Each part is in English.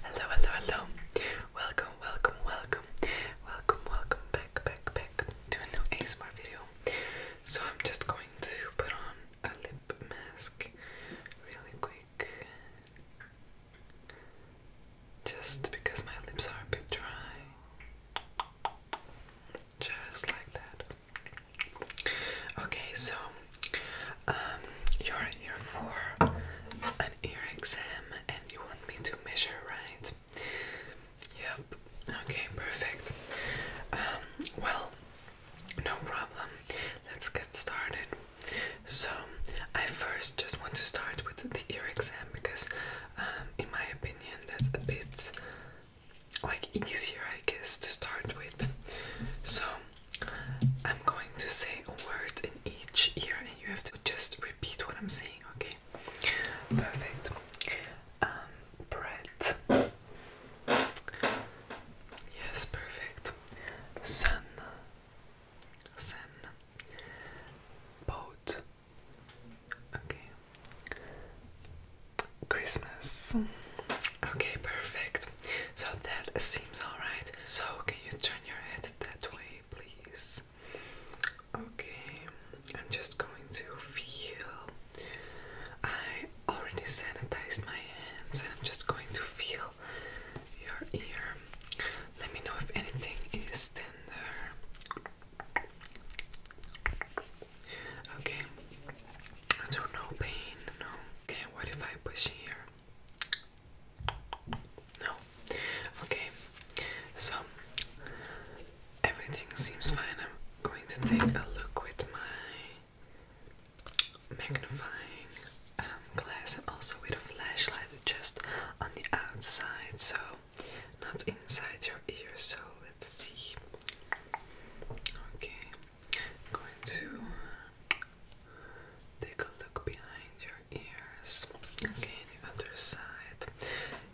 Hello, hello, hello. Welcome, welcome, welcome. Welcome, welcome back, back, back to a new ASMR video. So I'm just going to put on a lip mask really quick. Just because my lips are a bit dry. Just like that. Okay, so um, you're here for an ear exam and you want me to measure, right? Yep. Okay, perfect. Um, well, no problem. Let's get started. So, I first just want to start with the ear exam because, um, in my opinion, that's a bit like easier, I guess, to start with. So, I'm going to say a word in each ear and you have to just repeat what I'm saying, okay? Perfect. Um, bread. Yes, perfect. Sun. Sun. Boat. Okay. Christmas. Okay, perfect. So that seems alright. So can you turn your head that way, please? Okay, I'm just going to feel. I already sanitized my hands, and I'm just going to feel your ear. Let me know if anything is tender. Okay, so no pain, no. Okay, what if I push here? No. Okay. So everything seems fine. I'm going to take a look with my magnifying um, glass and also with a flashlight just on the outside, so not inside your ear. So let's see. Okay. going to Take a look behind your ears. Okay, the other side.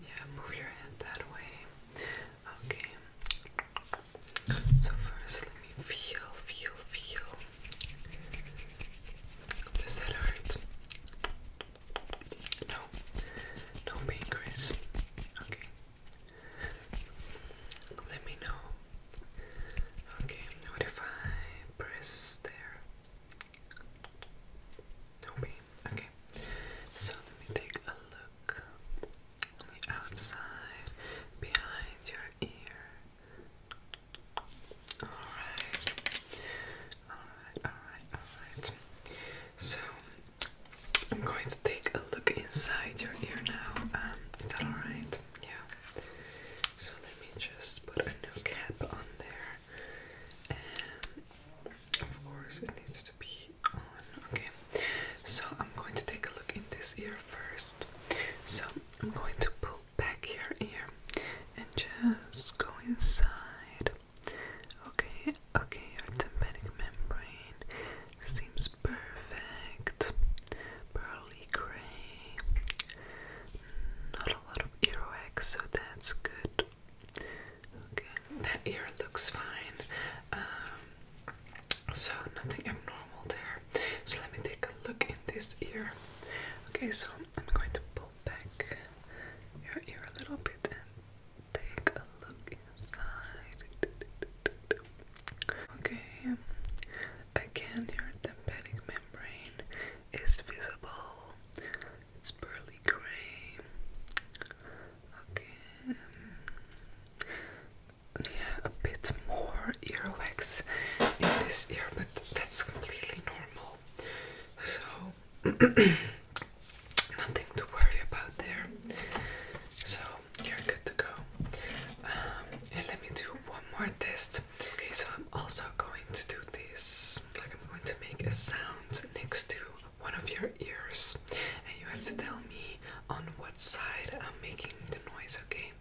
Yeah, move your head that way. Okay. So first, let me feel, feel, feel. Does that hurt? No, no pain, Chris. Okay. Let me know Okay, what if I press there? No way. Okay, so let me take a look on the outside behind your ear. Alright, alright, alright, alright. So I'm going to take a look inside your ear now. Um, is that alright? Yeah. So let me just put a new cap on there. And of course it needs to be on. Okay. So I'm going to take a look in this ear first. So I'm going to pull back your ear and just go inside. Okay, okay, your tympanic membrane seems perfect not a lot of earwax, so that's good. Okay, that ear looks fine. Um, so nothing abnormal there. So let me take a look in this ear. Okay, so I'm going to pull back your ear a little bit and take a look inside. Okay, again, your tympanic membrane is visible, it's barely gray. Okay, yeah, a bit more earwax in this ear, but that's completely normal. So, nothing to worry about there. So, you're good to go. Um, and let me do one more test. Okay, so I'm also going to do this. Like I'm going to make a sound next to one of your ears, and you have to tell me on what side I'm making the noise. Okay.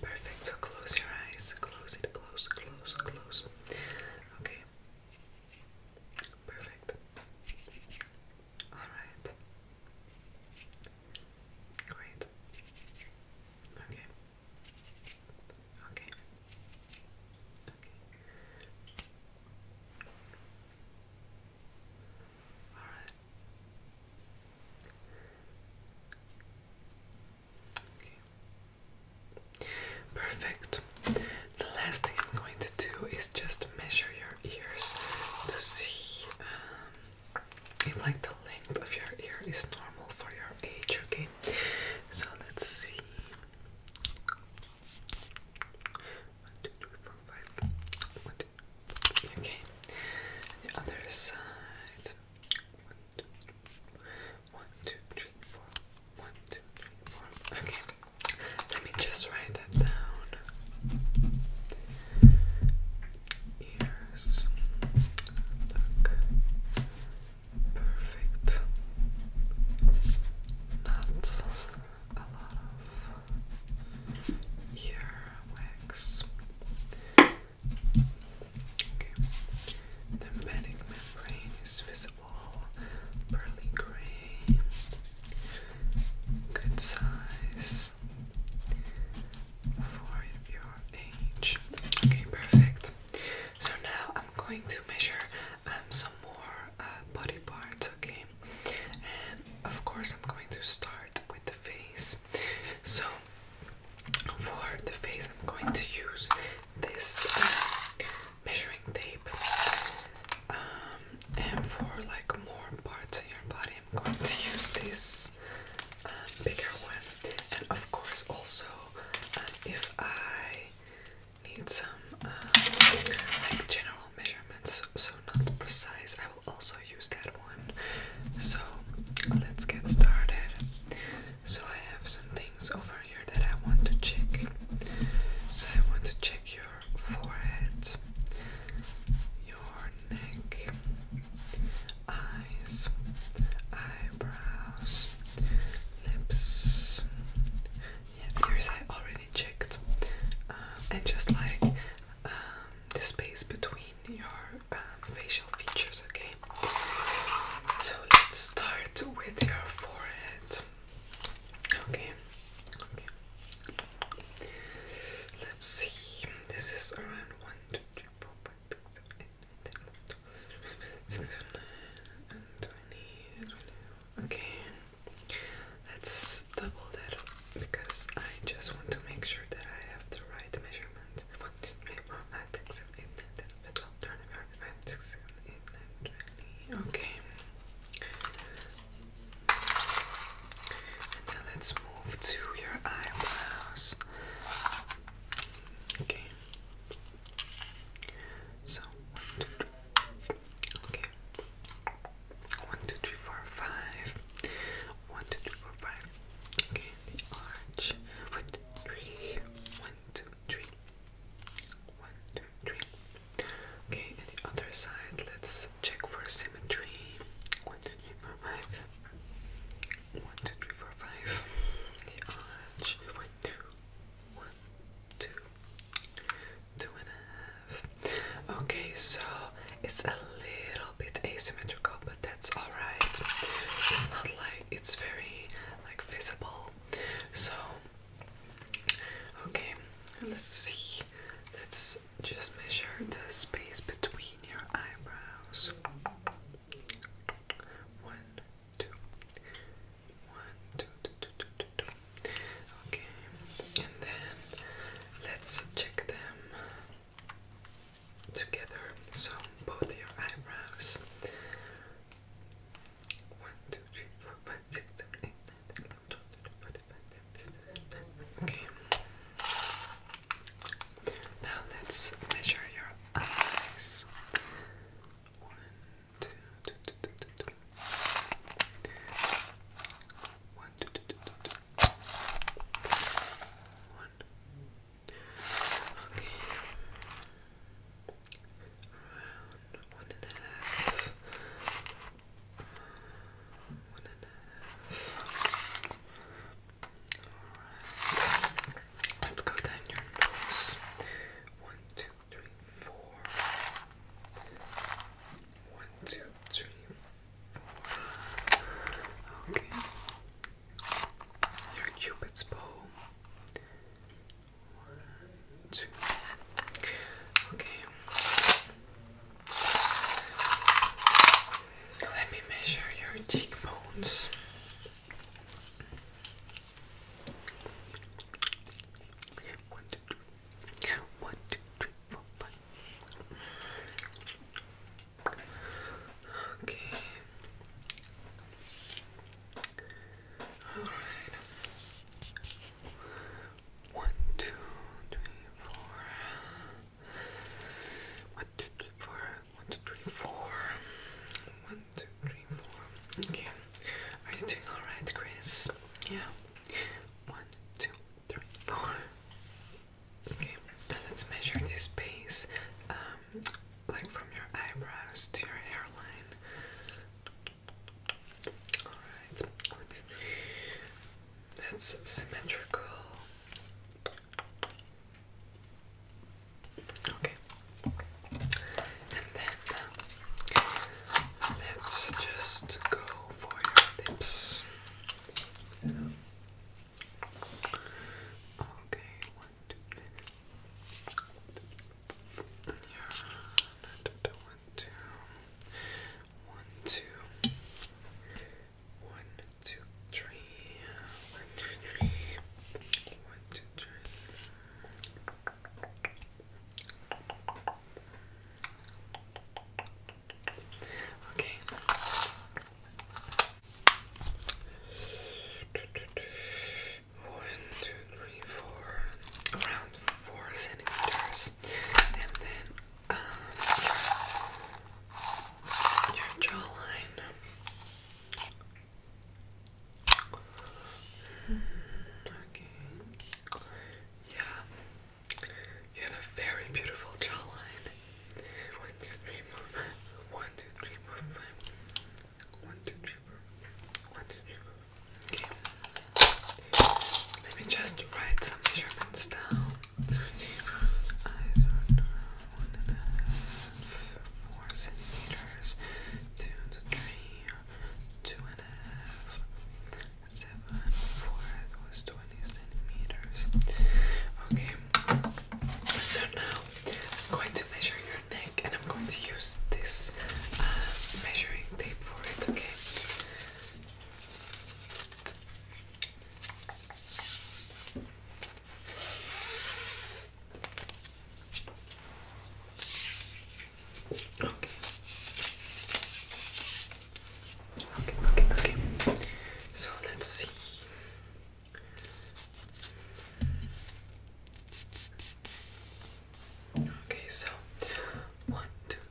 Perfect. So close your eyes. Close it. Close. Close. Close. Okay. Perfect. All right. Great. Okay. Okay. Okay. All right. Okay. Perfect. The last thing I'm going to do is just measure your ears to see um, if like the length of your ear is normal for your age, okay? So let's see. One, two, three, four, five. One, two. Okay. The other side. One, two, three. One, two, three, four. Okay. Let me just write that down ears look perfect. Not a lot of ear The medic membrane is visible, pearly gray, good size, for your age. Okay, perfect. So now I'm going to measure um, some more uh, body parts, okay? And of course, I'm going to start with the face. So for the face, I'm going to use this um, measuring tape. Um, and for like more parts of your body, i am going to use this um, bigger one, and of course, also um, if I need some um, like general measurements, so not precise, I will also use that one. So let's get started. So I have some things over here that I want to check. So I want to check your forehead, your neck, eyes, eyebrows, lips. Yeah, ears I already checked. Um, and just like um, the space between your um, facial features, okay? So let's start with your forehead. okay, Let's see. This is around one, two, three, four, five, six, seven, eight, nine, ten, eleven, six, nine, twenty. Okay. Let's double that up because I just want to make sure that I have the right measurement. One, two, three, four, five, six, seven, eight, nine, ten, eleven, twelve, thirteen, fourteen, fifteen, sixteen, seventeen, eighteen, nineteen, twenty. Okay let's move to your eyebrows. Okay. So one, two, three. Okay. One, two, three, four, five. One, two, three, four, five. Okay, the arch. One, two, three. One, two, three. One, two, three. Okay, and the other side, let's check for symmetry. One, two, three, four, five. One, two, three, four, five. The arch. One, Okay, so it's a little bit asymmetrical, but that's alright. It's not like it's very like visible. So okay, let's see. Let's just measure the space between your eyebrows. One, two, one, two, two, two, two, two, two. Okay, and then let's check them together. So both your eyebrows. One, two, three, four, five, six, seven, eight, nine, ten, eleven, twelve, thirteen, fourteen, Okay. Now let's measure your eyes. One, two, two, two, two, two, Okay. Around one and a half. One and a half. Alright. Let's go down your nose. One, two, three, four. One, two, three, four. Okay. Your cupid's bow. One, two. Okay. Let me measure your cheekbones. One, two, three. One, two, three, four, five. Okay. Alright. One, two, three, four. One, two, three, four. One, two, three, four. One, two, three, four. Okay. Are you doing alright, Chris? Yeah. One, two, three, four. Okay. Now let's measure this space. Um, like from your eyebrows to your hairline. Alright. One, two, three, that's symmetrical. Okay. And then let's just go for your lips. Okay, one, two, three. One, two. One, two, one, two, three, one, two, three, one, two, three. Okay. One, two, three, four, around four centimeters, and then your jawline. Mm-hmm. okay. Yeah. You have a very beautiful jawline. One, two, three, four, five. One, two, three, four, five. One, two, three, four. One, two, three, four. Okay. Let me just write some measurements down. Eyes are one and a half, four centimeters, two and three, two and a half, seven, four, 20 centimeters. Okay, so now I'm going to measure your neck and I'm going to use this uh, measuring tape for it, okay? Okay. Okay, okay, okay. So let's see. Okay, so one, two,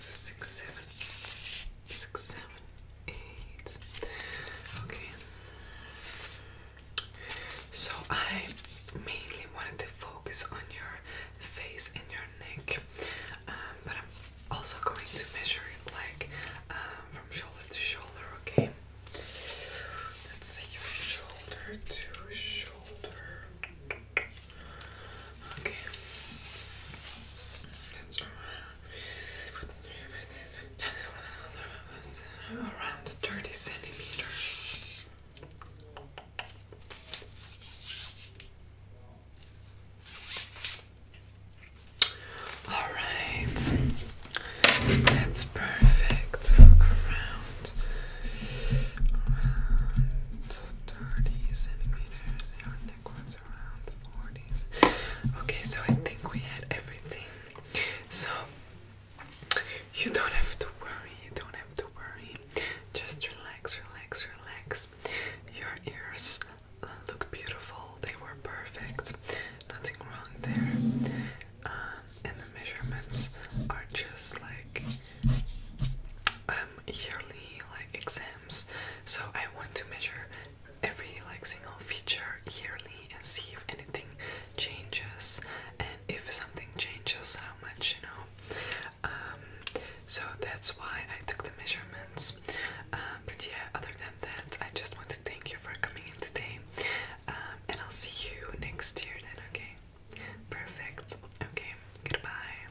six, seven, six, seven, eight. Okay. So I mainly wanted to focus on your face and your neck, um, but I'm also going to measure it like um, from shoulder to shoulder. Okay. Let's see, from shoulder to shoulder. Okay. around 30 centimeters. All right, that's perfect. Around, around 30 centimeters. Okay, so I think we had everything. So you don't have to worry, you don't have to worry. Just relax, relax, relax. Your ears look beautiful, they were perfect, nothing wrong there. Um, and the measurements are just like um, yearly like exam so I want to measure every like single feature yearly and see if anything changes and if something changes how much you know um, so that's why I took the measurements um, but yeah other than that I just want to thank you for coming in today um, and I'll see you next year then okay perfect okay goodbye